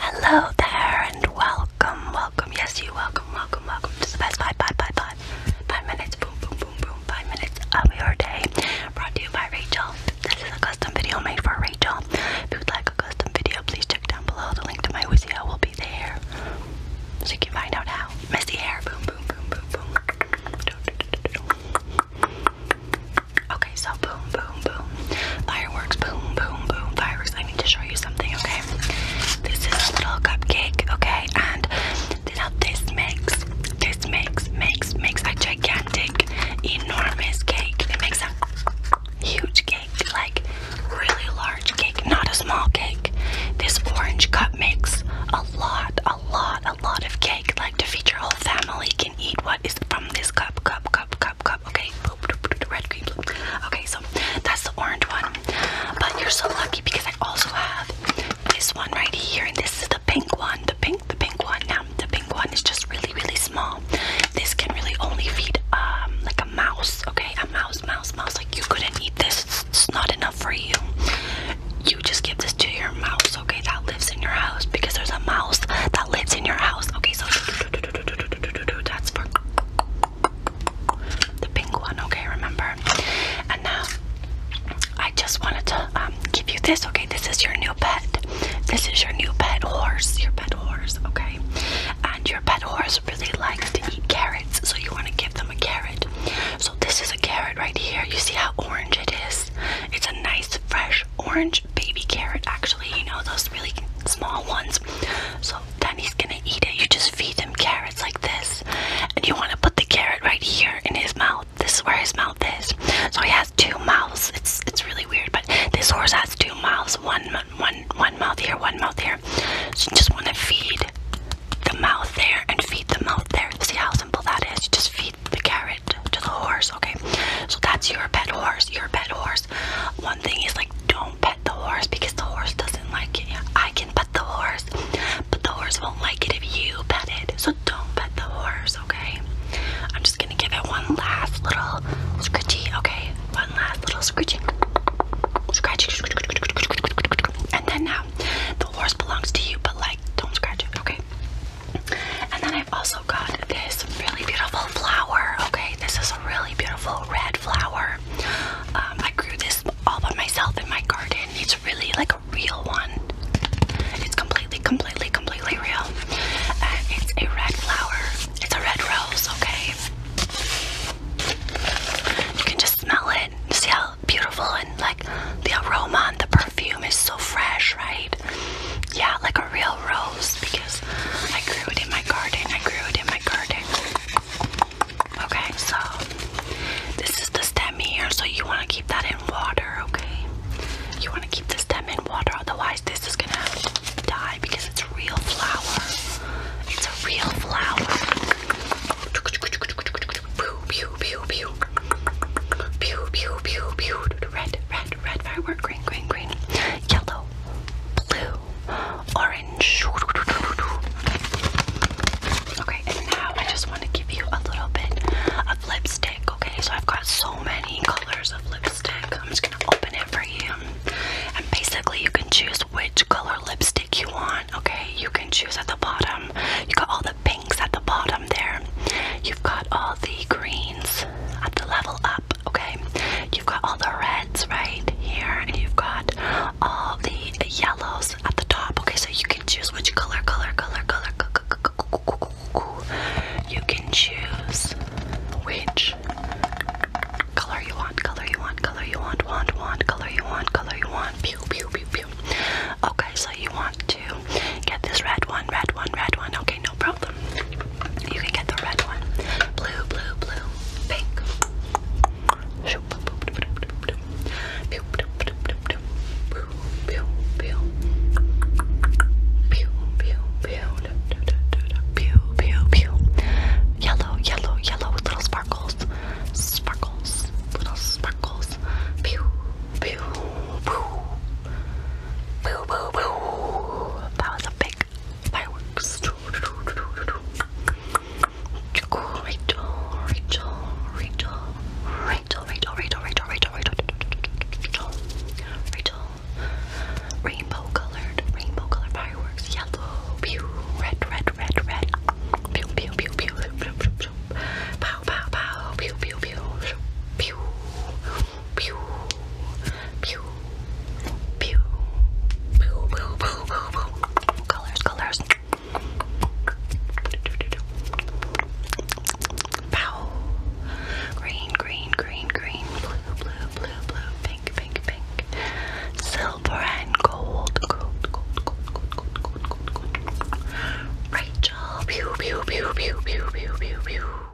Hello there and welcome, welcome, yes you welcome, welcome, welcome to the best five, five, five, five, five minutes, boom, boom, boom, boom, five minutes of your day, brought to you by Rachel. This is a custom video made for Rachel. If you would like a custom video, please check down below. The link to my Wizio will be there, so you can find out how. Messy hair, boom, boom, boom, boom, boom. Okay, so boom, boom boom, Fireworks, boom, boom, boom. Fireworks. I need to show you something, okay? This is a little cupcake, okay? And now this makes, this makes, makes, makes a gigantic, enormous cake. It makes a huge cake, like really large cake, not a small cake. This orange cup makes a lot, a lot, a lot of cake. Like to feed your whole family can eat what is from this cup, cup, cup, cup cup, cup. Okay, red green blue. Okay, so that's the orange one. But you're so lucky because I also have this one right here, and this is the pink one. The pink, the pink one. Now the pink one is just really, really small. This can really only feed um like a mouse. Okay, a mouse, mouse, mouse. Like you couldn't eat this. It's not enough for you. You just give this to your mouse. Okay, that lives in your house because there's a mouse that lives in your house. Okay, so. That's for the pink one, okay, remember? And now I just wanted to um, give you this, okay? This is your new pet. This is your new pet horse, your pet horse, okay? And your pet horse really likes to eat carrots, so you want to give them a carrot. So this is a carrot right here. You see how orange it is? It's a nice fresh orange baby carrot, actually, you know, those really small ones. So then he's gonna eat it. You just feed him carrots like this, and you want to put the carrot right here in his mouth. This is where his mouth is. So he has two mouths. It's it's really weird, but this horse has two mouths. One one one mouth here, one mouth here. So you just want to feed the mouth there and feed the mouth there. See how simple that is? just feed the carrot to the horse horse, okay? So that's your pet horse, your pet horse. One thing is like don't pet the horse because the horse doesn't like it. I can pet the horse, but the horse won't like it if you pet it. So don't pet the horse, okay? I'm just gonna give it one last little scritchy, okay? One last little scritchy. Scratch. And then now the horse belongs to you, but like don't scratch it, okay? And then i also got this really beautiful flower. Okay, this is a really beautiful red flower. Um, I grew this all by myself in my garden. It's really like a real one. It's completely, completely, completely real. it's a red flower. It's a red rose, okay? You can just smell it. See how beautiful and like the aroma and the perfume is so fresh, right? Yeah, like a real rose because I grew it in my garden. I grew it in my garden. Okay, so this is the stem here, so you want to keep that in water, okay? You want to keep the stem in water, otherwise, this is gonna die because it's a real flower. It's a real flower. Pew, pew, pew, pew. Pew, pew, pew, pew. Red, red, red firework, green, green, green. Yellow, blue, orange. Okay, and now I just want to give you a little bit of lipstick. Okay, so I've got so many colors of lipstick. I'm just gonna open it for you, and basically you can choose which color lipstick you want. Okay, you can choose at the bottom. You got all the pinks at the bottom there. You've got all the greens at the level up. Okay, you've got all the reds right here, and you've got all the yellows at the top. Okay, so you can choose which color, color, color, color. You can choose which color you want, color you want, color you want, want, want, color you want, color you want. Pew, pew, pew, pew. Okay, so you want to get this red one, red one, red one. Okay, no problem. You can get the red one. Blue, blue, blue, pink. Yellow, yellow, yellow with little sparkles. Sparkles, little sparkles. Pew, pew, pew. Boo, boo, boo. That was a big Fireworks. Rachel, Rachel, Rachel, Rachel, Rachel, Rachel, Rachel, Rachel, Rachel, rainbow colored, rainbow colored fireworks, yellow, pew, red, red, red, red, pew, pew, pew, pew, pew, pew, pew, pew, pew, pew, pew, pew, pew, pew, pew, pew, colors, colors, pow, green, green, green, green, blue, blue, blue, blue, pink, pink, pink, silver and gold, gold, gold, gold, gold, gold, gold, gold, gold. Rachel, pew, pew, pew, pew, pew, pew, pew, pew.